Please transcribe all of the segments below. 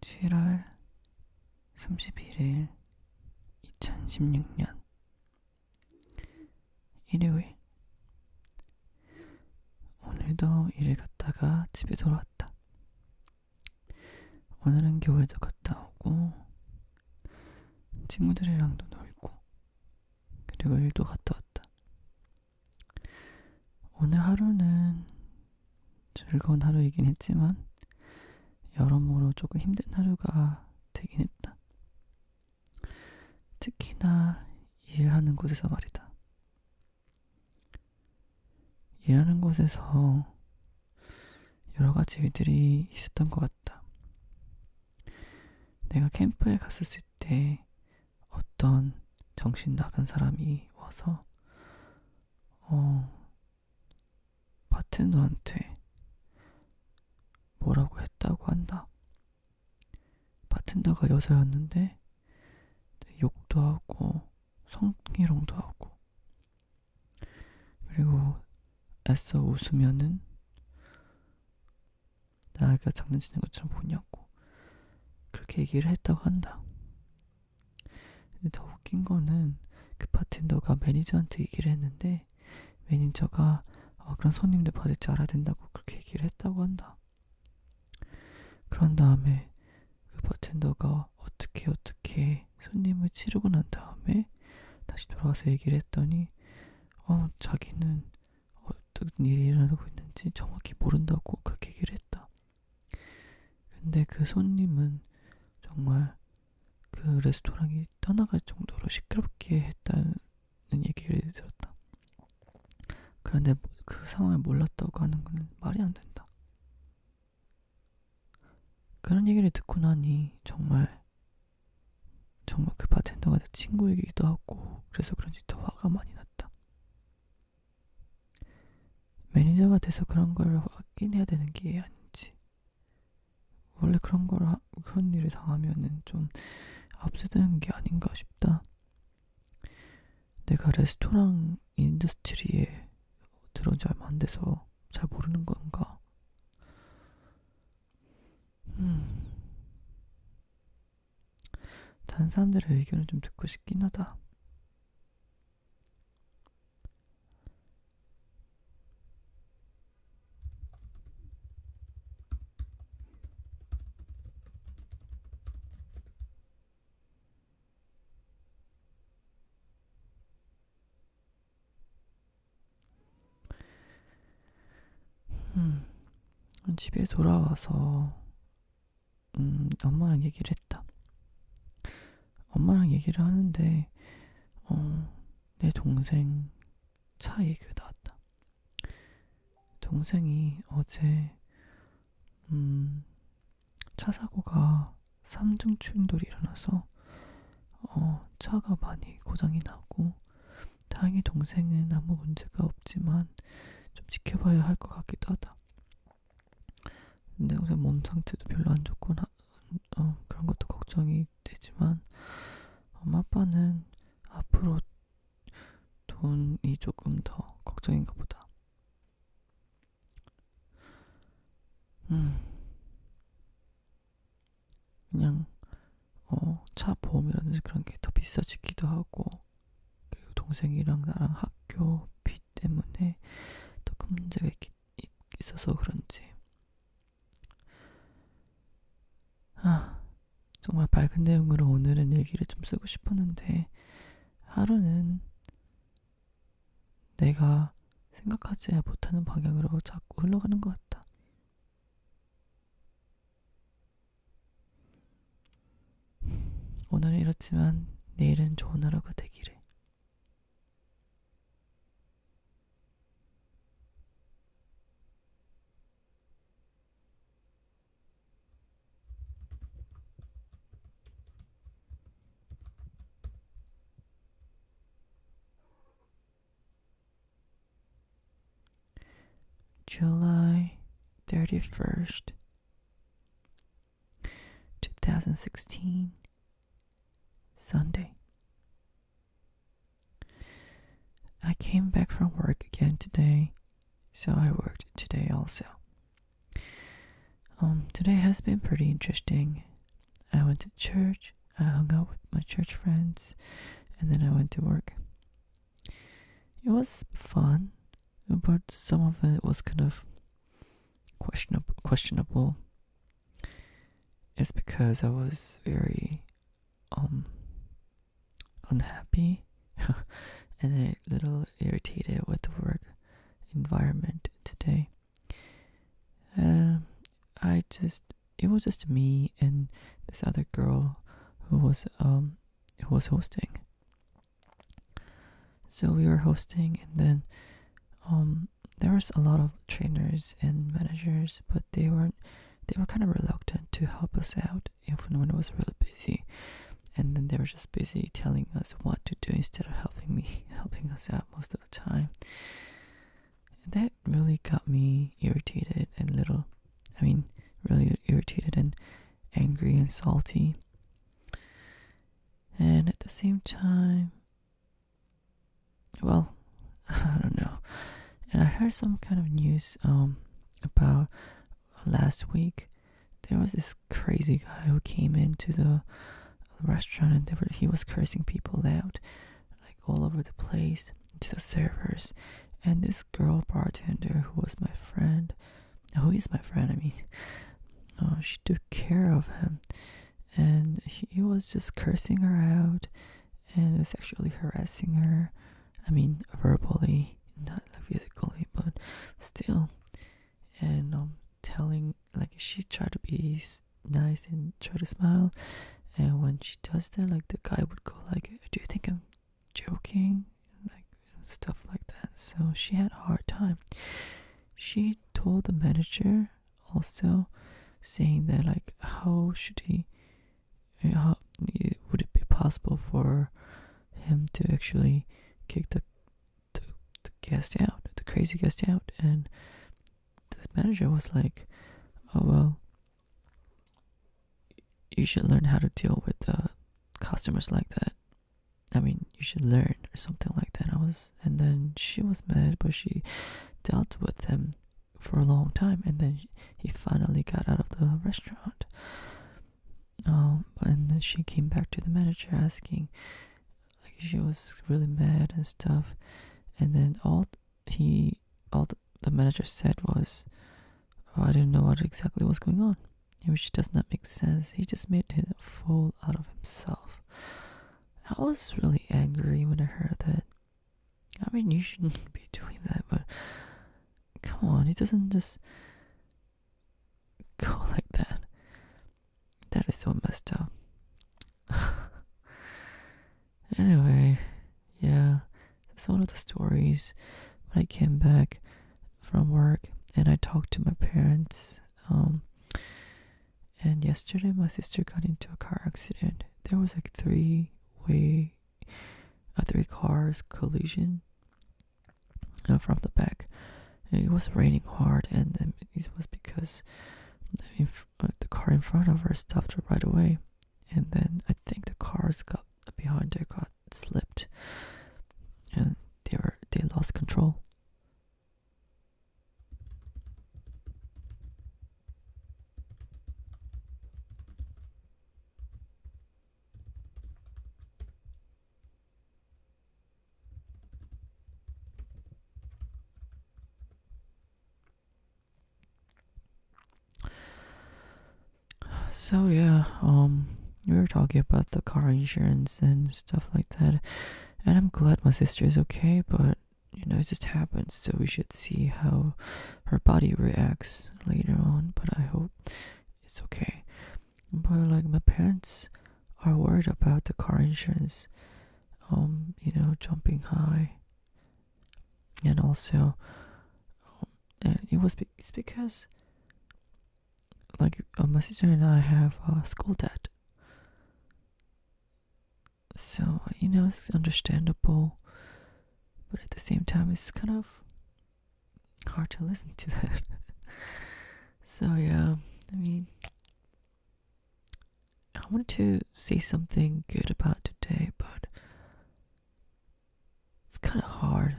7월 31일 2016년 일요일 오늘도 일을 갔다가 집에 돌아왔다. 오늘은 교회도 갔다 오고 친구들이랑도 놀고 그리고 일도 갔다 왔다. 오늘 하루는 즐거운 하루이긴 했지만 여러모로 조금 힘든 하루가 되긴 했다. 특히나 일하는 곳에서 말이다. 일하는 곳에서 여러 가지 일들이 있었던 것 같다. 내가 캠프에 갔었을 때 어떤 정신 나간 사람이 와서 어 바텐더한테 뭐라고 했다고 한다. 바텐더가 여자였는데 욕도 하고 성희롱도 하고 그리고 애써 웃으면은 나가 장난치는 것처럼 보냐고 그렇게 얘기를 했다고 한다. 근데 더 웃긴 거는 그 바텐더가 매니저한테 얘기를 했는데 매니저가 어, 그런 손님들 받을 줄 알아야 된다고 그렇게 얘기를 했다고 한다. 그런 다음에 그 바텐더가 어떻게 어떻게 손님을 치르고 난 다음에 다시 돌아가서 얘기를 했더니 어 자기는 어, 어떤 일이 일어나고 있는지 정확히 모른다고 그렇게 얘기를 했다. 근데 그 손님은 정말 그 레스토랑이 떠나갈 정도로 시끄럽게 했다는 얘기를 들었다. 그런데 그 상황을 몰랐다고 하는 건 말이 안 된다. 그런 얘기를 듣고 나니 정말 정말 그 바텐더가 내 친구이기도 하고 그래서 그런지 더 화가 많이 났다. 않았다. 매니저가 돼서 그런 걸 확인해야 되는 게 아닌지. 원래 그런 걸, 하, 그런 일을 당하면은 좀 압수되는 게 아닌가 싶다. 내가 레스토랑 인더스트리에 들어온 지 얼마 안 돼서 잘 모르는 건가? 음. 다른 사람들의 의견을 좀 듣고 싶긴 하다. 음, 집에 돌아와서 음, 엄마랑 얘기를 했다. 엄마랑 얘기를 하는데 어, 내 동생 차 얘기가 나왔다. 동생이 어제 음, 차 사고가 3중 충돌이 일어나서 어, 차가 많이 고장이 나고 다행히 동생은 아무 문제가 없지만 좀 지켜봐야 할 것 같기도 하다. 내 동생 몸 상태도 별로 안 좋고 나, 어, 그런 것도 걱정이 되지만 엄마 아빠는 앞으로 돈이 조금 더 걱정인가 보다. 음. 그냥 어, 차 보험이라든지 그런 게 더 비싸지기도 하고 그리고 동생이랑 나랑 학교 비 때문에 더 큰 문제가 있, 있, 있어서 그런지 아 정말 밝은 내용으로 오늘은 얘기를 좀 쓰고 싶었는데 하루는 내가 생각하지 못하는 방향으로 자꾸 흘러가는 것 같다. 오늘은 이렇지만 내일은 좋은 하루가 되기를. July 31st, 2016, Sunday. I came back from work again today, so I worked today also. Um, today has been pretty interesting. I went to church, I hung out with my church friends, and then I went to work. It was fun, but some of it was kind of questionable. questionable. It's because I was very um unhappy and a little irritated with the work environment today. Uh, I just it was just me and this other girl who was um who was hosting. So we were hosting, and then um there was a lot of trainers and managers, but they weren't they were kind of reluctant to help us out even when it was really busy. And then they were just busy telling us what to do instead of helping me helping us out most of the time that really got me irritated and little I mean really irritated and angry and salty. And at the same time well, I don't know. And I heard some kind of news um about last week there was this crazy guy who came into the restaurant and he was cursing people out like all over the place to the servers and this girl bartender who was my friend who is my friend i mean uh, she took care of him and he was just cursing her out and sexually harassing her i mean verbally not like physically but still and I'm um, telling like she tried to be nice and try to smile. And when she does that, like the guy would go like, "Do you think I'm joking?" Like stuff like that. So she had a hard time. She told the manager also, saying that like, how should he? Uh, how would it be possible for him to actually kick the the, the guest out, the crazy guest out, and the manager was like, "Oh well, you should learn how to deal with uh, customers like that. I mean, you should learn or something like that." I was, and then she was mad, but she dealt with him for a long time, and then he finally got out of the restaurant. Um, and then she came back to the manager asking, like she was really mad and stuff and then all he all the manager said was oh, i didn't know what exactly was going on which does not make sense he just made a fool out of himself i was really angry when i heard that i mean you shouldn't be doing that but come on he doesn't just go like that that is so messed up. anyway, yeah, that's one of the stories. When I came back from work and I talked to my parents, um, and yesterday my sister got into a car accident. There was like three way, a uh, three cars collision uh, from the back. It was raining hard, and it was because uh, the car in front of her stopped right away. And then I think the cars got behind her got slipped, and they were they lost control. So yeah, um we were talking about the car insurance and stuff like that. And I'm glad my sister is okay, but you know, it just happened, so we should see how her body reacts later on, but I hope it's okay. But like my parents are worried about the car insurance, um, you know, jumping high, and also, um, and it was it's because, like, uh, my sister and I have a school debt, so you know it's understandable, but at the same time it's kind of hard to listen to that. so yeah, I mean, I wanted to say something good about today, but it's kind of hard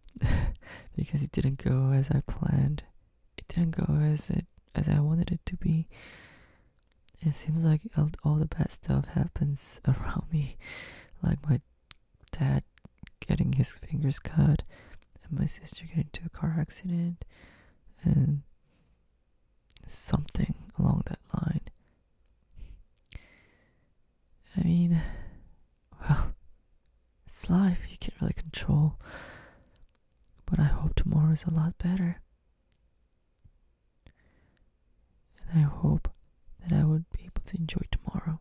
because it didn't go as I planned. It didn't go as it as I wanted it to be. It seems like all the bad stuff happens around me, like my dad getting his fingers cut, and my sister getting into a car accident, and something along that line. I mean, well, it's life, you can't really control. But I hope tomorrow is a lot better. And I hope that I would be able to enjoy tomorrow.